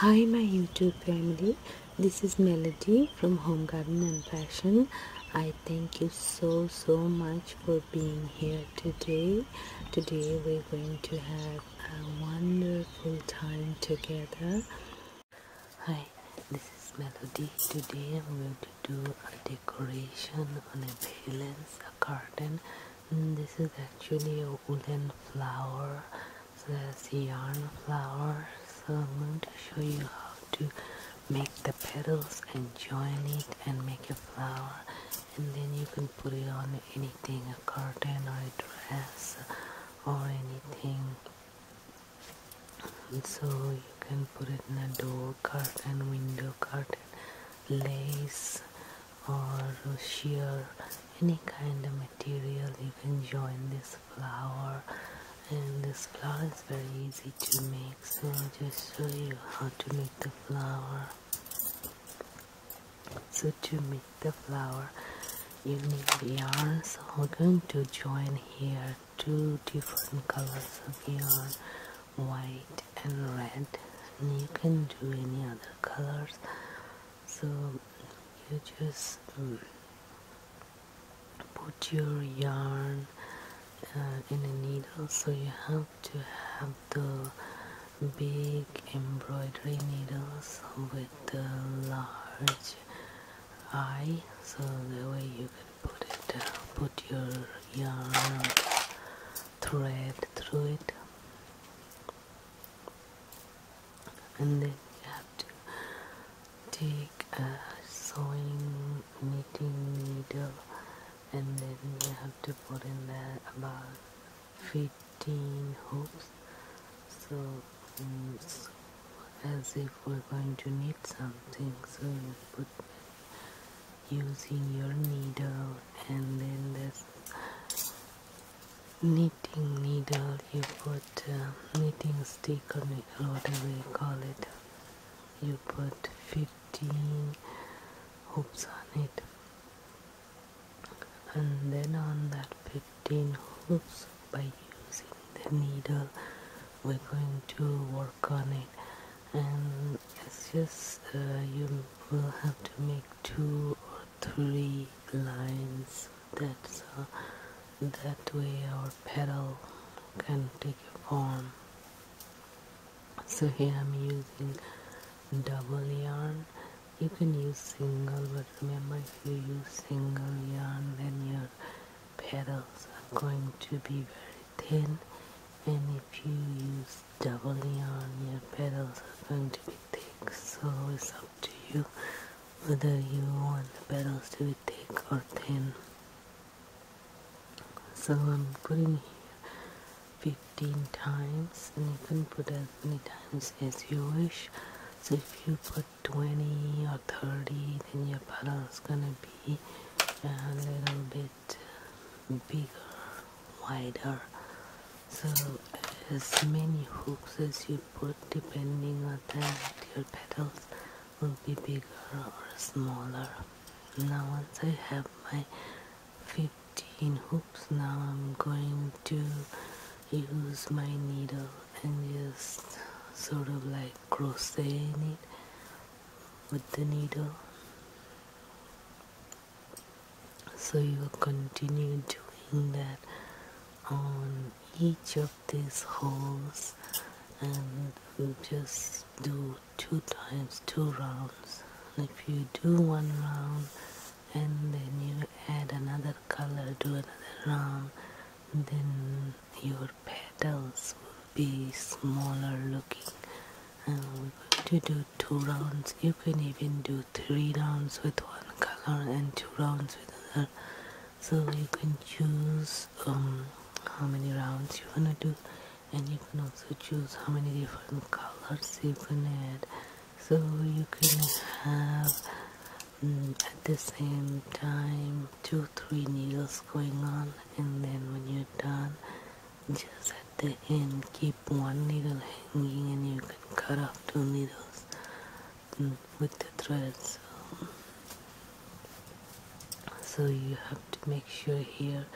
Hi my YouTube family, this is Melody from Home Garden and Fashion. I thank you so so much for being here today. Today we're going to have a wonderful time together. Hi, this is Melody. Today I'm going to do a decoration on a balance, a garden this is actually a woolen flower so that's yarn flower so I'm going to show you how to make the petals and join it and make a flower and then you can put it on anything a curtain or a dress or anything and so you can put it in a door curtain window curtain lace or sheer any kind of material you can join this flower and this flower is very easy to make so I'll just show you how to make the flower so to make the flower you need the yarn so we're going to join here two different colors of yarn white and red and you can do any other colors so you just um, put your yarn uh, in a needle so you have to have the big embroidery needles with the large eye so that way you can put it uh, put your yarn thread through it and then you have to take a sewing knitting needle and then you have to put in there about 15 hoops mm, so as if we're going to knit something so you put using your needle and then this knitting needle you put uh, knitting stick on or whatever you call it you put 15 hoops on it and then on that 15 hoops by using the needle we're going to work on it and it's just uh, you will have to make two or three lines that's uh, that way our petal can take a form so here I'm using double yarn you can use single but remember if you use single yarn then your petals are going to be very thin and if you use doubly on your petals are going to be thick so it's up to you whether you want the petals to be thick or thin so I'm putting here 15 times and you can put as many times as you wish so if you put 20 or 30 then your petals are gonna be a little bit bigger wider so as many hooks as you put depending on that your petals will be bigger or smaller now once I have my 15 hoops now I'm going to use my needle and just sort of like crocheting it with the needle so you will continue doing that on each of these holes and just do two times two rounds if you do one round and then you add another color do another round then your petals will be smaller looking we're um, going to do two rounds you can even do three rounds with one color and two rounds with another so you can choose um, how many rounds you want to do and you can also choose how many different colors you can add so you can have mm, at the same time two three needles going on and then when you're done just at the end keep one needle hanging and you can cut off two needles mm, with the threads. so, you have to make sure here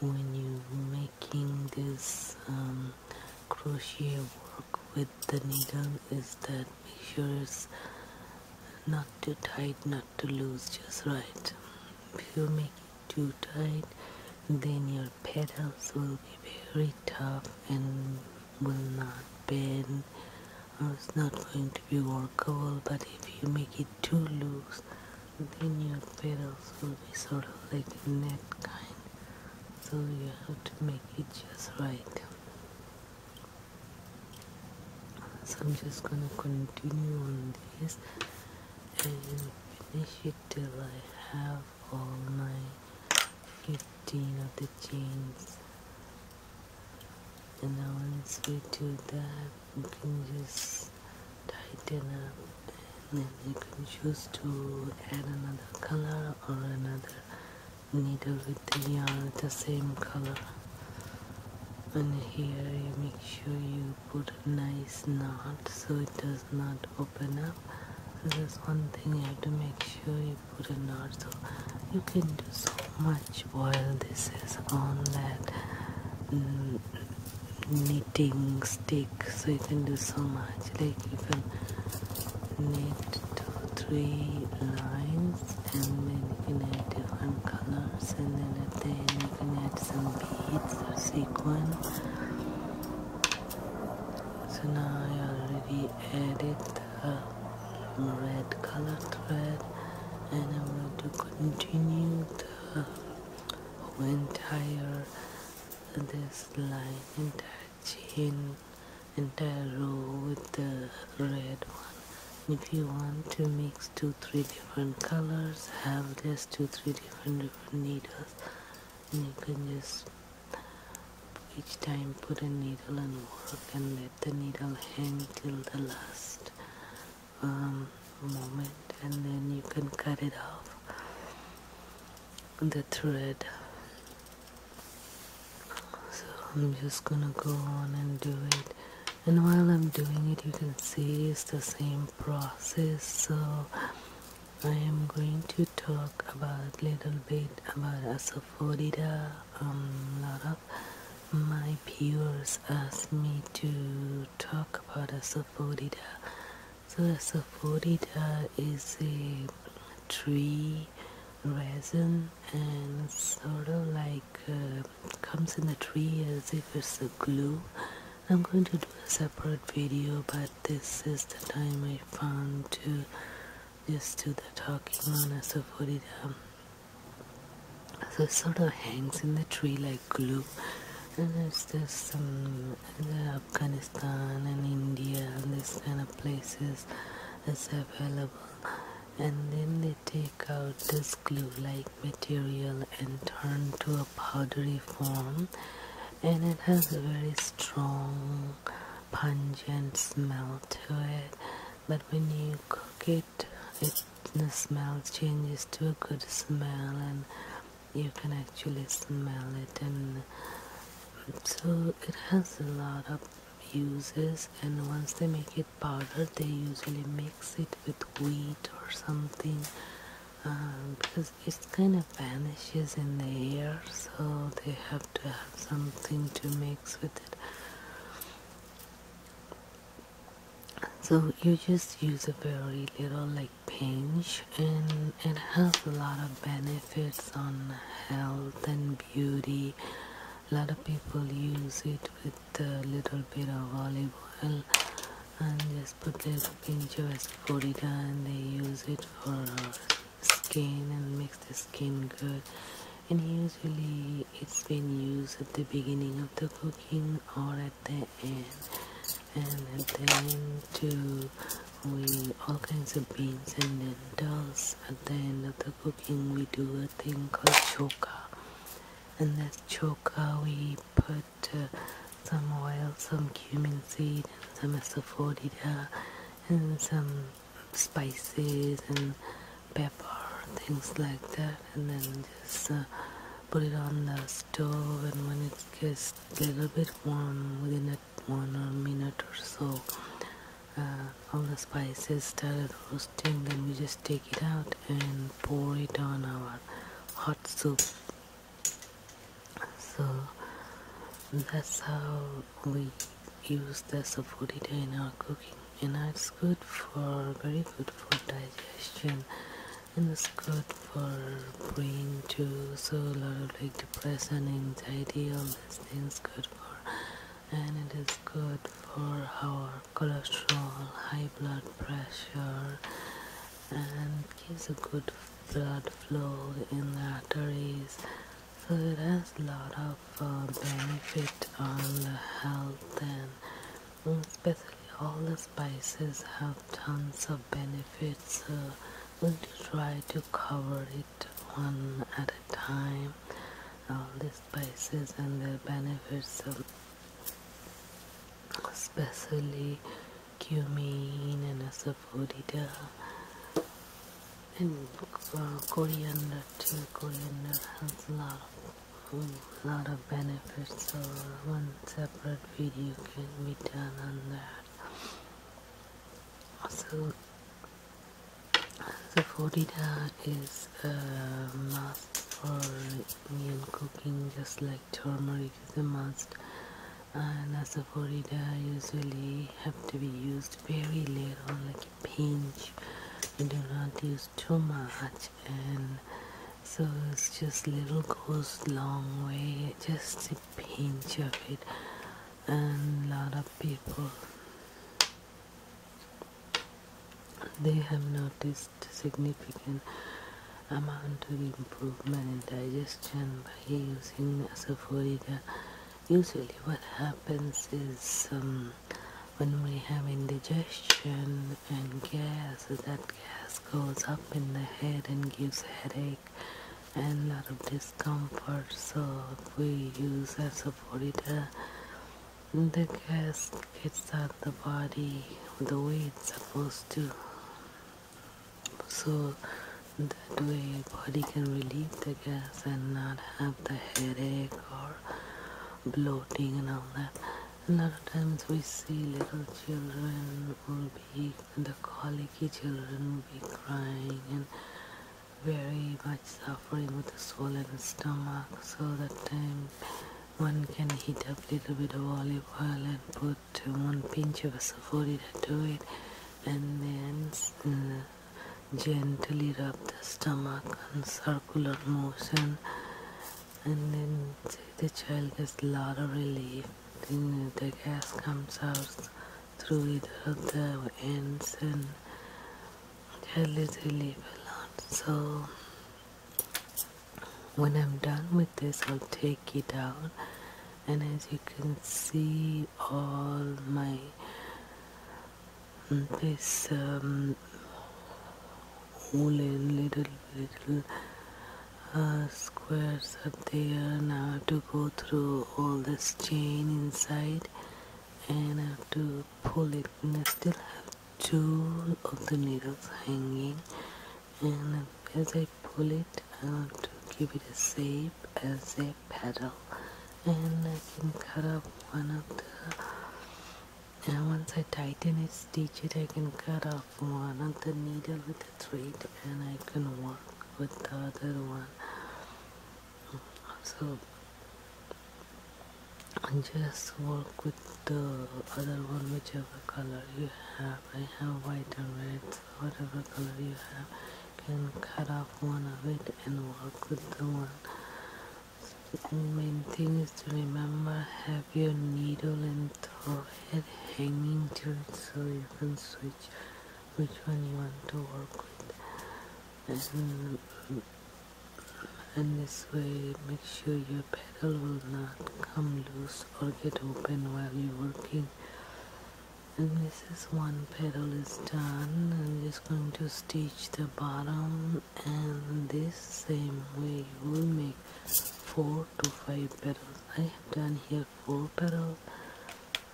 when you are making this um, crochet work with the needle is that make sure it's not too tight not too loose just right if you make making too tight, then your petals will be very tough and will not bend uh, it's not going to be workable but if you make it too loose then your petals will be sort of like a net kind so you have to make it just right so I'm just gonna continue on this and finish it till I have all my 15 of the chains and now once we do that you can just tighten up and then you can choose to add another color or another needle with the yarn the same color and here make sure you put a nice knot so it does not open up this is one thing you have to make sure you put a knot so you can do so much while this is on that mm, knitting stick so you can do so much like you can knit two three lines and then you can different colors and then at the end I'm gonna add some beads or sequins. So now I already added the red color thread and I'm going to continue the entire this line entire chain entire row with the red one if you want to mix two three different colors have this two three different different needles and you can just each time put a needle and work and let the needle hang till the last um, moment and then you can cut it off the thread so I'm just gonna go on and do it and while I'm doing it you can see it's the same process so I am going to talk about a little bit about asafoetida um, a lot of my peers asked me to talk about asafoetida so asafoetida is a tree resin and sort of like uh, comes in the tree as if it's a glue I'm going to do a separate video but this is the time I found to just do the talking on Asaforidam um, so it sort of hangs in the tree like glue and it's just um, Afghanistan and India and this kind of places it's available and then they take out this glue like material and turn to a powdery form and it has a very strong pungent smell to it but when you cook it it the smell changes to a good smell and you can actually smell it and so it has a lot of uses and once they make it powder they usually mix it with wheat or something uh, because it kind of vanishes in the air so they have to have something to mix with it so you just use a very little like pinch and it has a lot of benefits on health and beauty a lot of people use it with the little bit of olive oil and just put a pinch of ascorita and they use it for skin and makes the skin good and usually it's been used at the beginning of the cooking or at the end and at the end too we all kinds of beans and lentils at the end of the cooking we do a thing called choka and that's choka cooker uh, we put uh, some oil, some cumin seed, and some asafoetida, uh, and some spices and pepper, things like that, and then just put it on the stove. And when it gets a little bit warm, within a, one or minute or so, all the spices started roasting. Then we just take it out and pour it on our hot soup so that's how we use the sapodita in our cooking and it's good for very good for digestion and it's good for brain too so a lot of like depression anxiety all these things good for and it is good for our cholesterol, high blood pressure, and gives a good blood flow in the arteries. So it has a lot of uh, benefit on the health and mm, especially all the spices have tons of benefits. So we will try to cover it one at a time. All the spices and their benefits. So especially cumin and asafoetida and uh, coriander too. Coriander has a lot of lot of benefits, so one separate video can be done on that. So, asafoetida is a must for Indian cooking just like turmeric is a must and asafoetida usually have to be used very little like a pinch you do not use too much and so it's just little goes long way just a pinch of it and a lot of people they have noticed significant amount of improvement in digestion by using asafoetida. Usually what happens is um, when we have indigestion and gas, that gas goes up in the head and gives headache and a lot of discomfort. So we use asafoetida, the gas gets out the body the way it's supposed to so that way your body can relieve the gas and not have the headache or bloating and all that a lot of times we see little children will be the colicky children will be crying and very much suffering with a swollen stomach so that um, one can heat up a little bit of olive oil and put uh, one pinch of asafoetida to it and then uh, gently rub the stomach in circular motion and then the child gets a lot of relief then uh, the gas comes out through either of the ends and I literally leave a lot. So when I'm done with this, I'll take it out, and as you can see, all my this um, woolen little little uh, squares up there now to go through all this chain inside and I have to pull it and I still have two of the needles hanging and as I pull it I want to give it a shape as a petal and I can cut off one of the and once I tighten it stitch it I can cut off one of the needle with a thread and I can work with the other one so just work with the other one whichever color you have I have white and red whatever color you have can cut off one of it and work with the one the main thing is to remember have your needle and thread hanging to it so you can switch which one you want to work with and this way make sure your pedal will not come loose or get open while you're working and this is one petal is done I'm just going to stitch the bottom and this same way we will make four to five petals I have done here four petals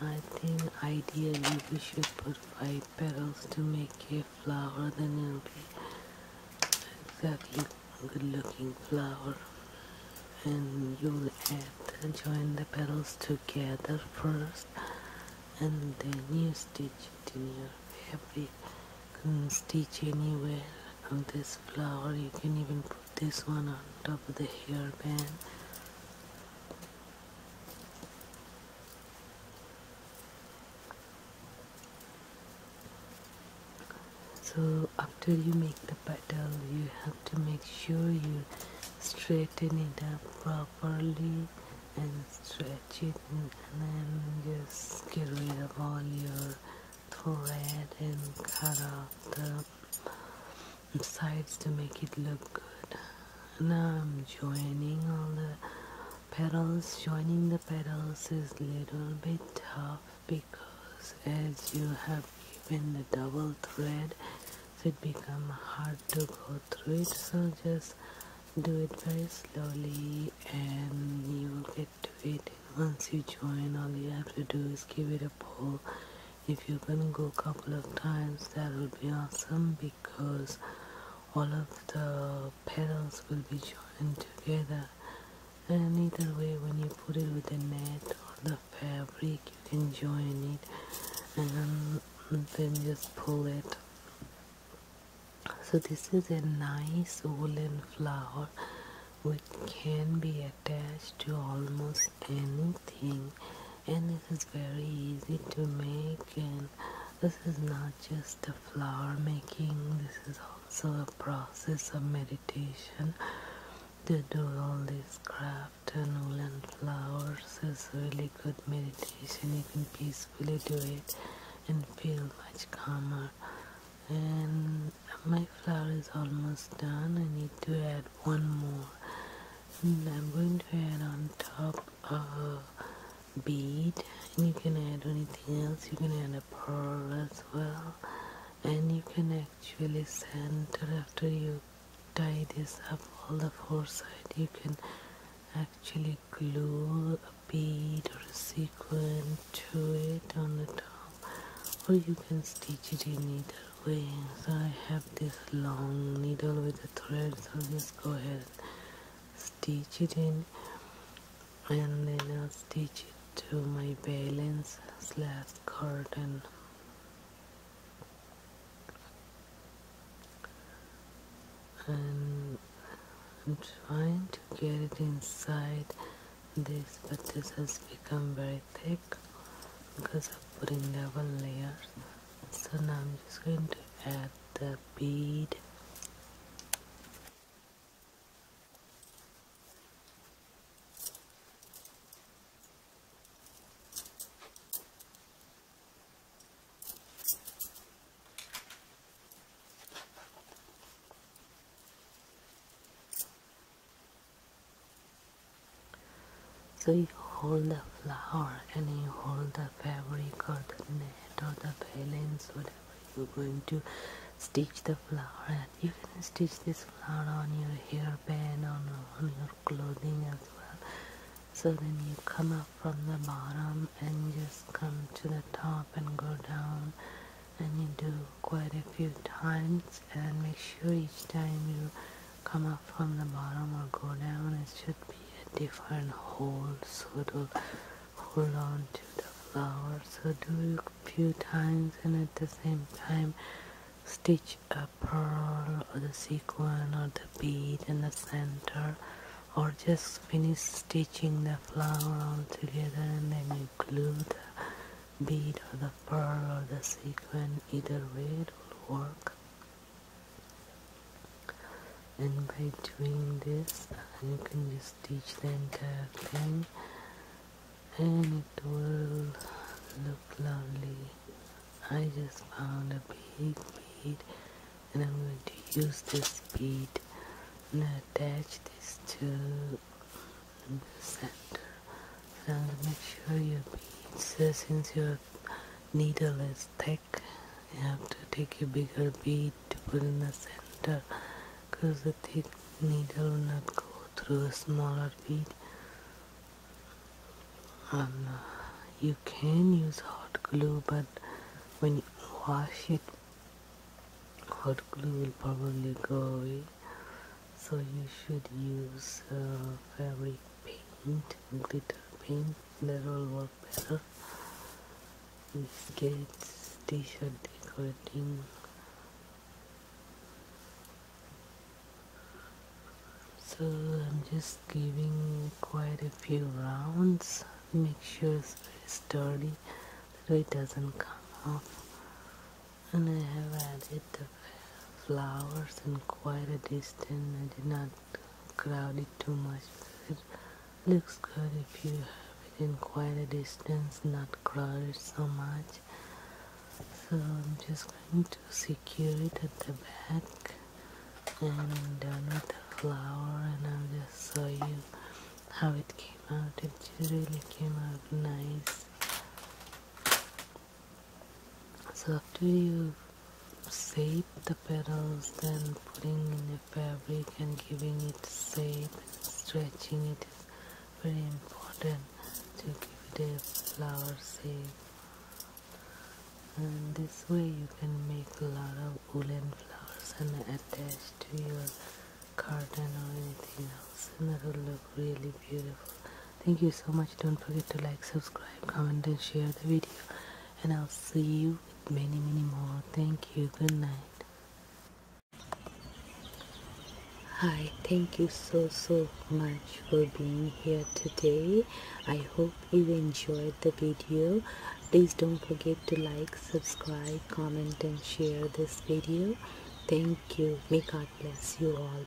I think ideally we should put five petals to make it flower, then it'll be exactly good looking flower and you'll have to join the petals together first and then you stitch it in your fabric you can stitch anywhere on this flower you can even put this one on top of the hairband so after you make the petal, you have to make sure you straighten it up properly and stretch it and then just get rid of all your thread and cut off the sides to make it look good now I'm joining all the petals joining the petals is little bit tough because as you have given the double thread it becomes hard to go through it so just do it very slowly and you will get to it once you join all you have to do is give it a pull if you can go a couple of times that would be awesome because all of the petals will be joined together and either way when you put it with the net or the fabric you can join it and then just pull it so this is a nice woolen flower which can be attached to almost anything and this is very easy to make and this is not just a flower making this is also a process of meditation to do all this craft and all woolen flowers is really good meditation you can peacefully do it and feel much calmer and my flower is almost done I need to add one more and I'm going to add on top a bead and you can add anything else you can add a pearl as well and you can actually center after you tie this up all the four sides you can actually glue a bead or a sequin to it on the top or you can stitch it in either way I have this long needle with the thread through this go ahead stitch it in and then I'll stitch it to my balance slash curtain and I'm trying to get it inside this but this has become very thick because I'm putting double layers so now I'm just going to add the bead so you hold the flower and you hold the fabric or the net or the balance, whatever you're going to stitch the flower and you can stitch this flower on your hairpin on, on your clothing as well so then you come up from the bottom and just come to the top and go down and you do quite a few times and make sure each time you come up from the bottom or go down it should be a different hole so to hold on to the flower so do a few times and at the same time stitch a pearl or the sequin or the bead in the center or just finish stitching the flower all together and then you glue the bead or the pearl or the sequin either way it will work and by doing this you can just teach the entire thing and it will look lovely I just found a big bead and I'm going to use this bead and attach this to the center and make sure your beads since your needle is thick you have to take a bigger bead to put in the center because the thick needle will not go through a smaller bead um, you can use hot glue but when you wash it hot glue will probably go away so you should use uh, fabric paint, glitter paint, that will work better. Sketch, t-shirt decorating. So I'm just giving quite a few rounds. Make sure it's sturdy, that way it doesn't come off. And I have added the flowers in quite a distance. I did not crowd it too much. It looks good if you have it in quite a distance, not crowded so much. So I'm just going to secure it at the back and done with the flower and I'll just show you how it came out. It really came out nice. So after you save the petals, then putting in a fabric and giving it shape, stretching it is very important to give it flower shape. And this way you can make a lot of woolen flowers and attach to your curtain or anything else and that will look really beautiful thank you so much don't forget to like subscribe comment and share the video and i'll see you with many many more thank you good night hi thank you so so much for being here today i hope you enjoyed the video please don't forget to like subscribe comment and share this video thank you may god bless you all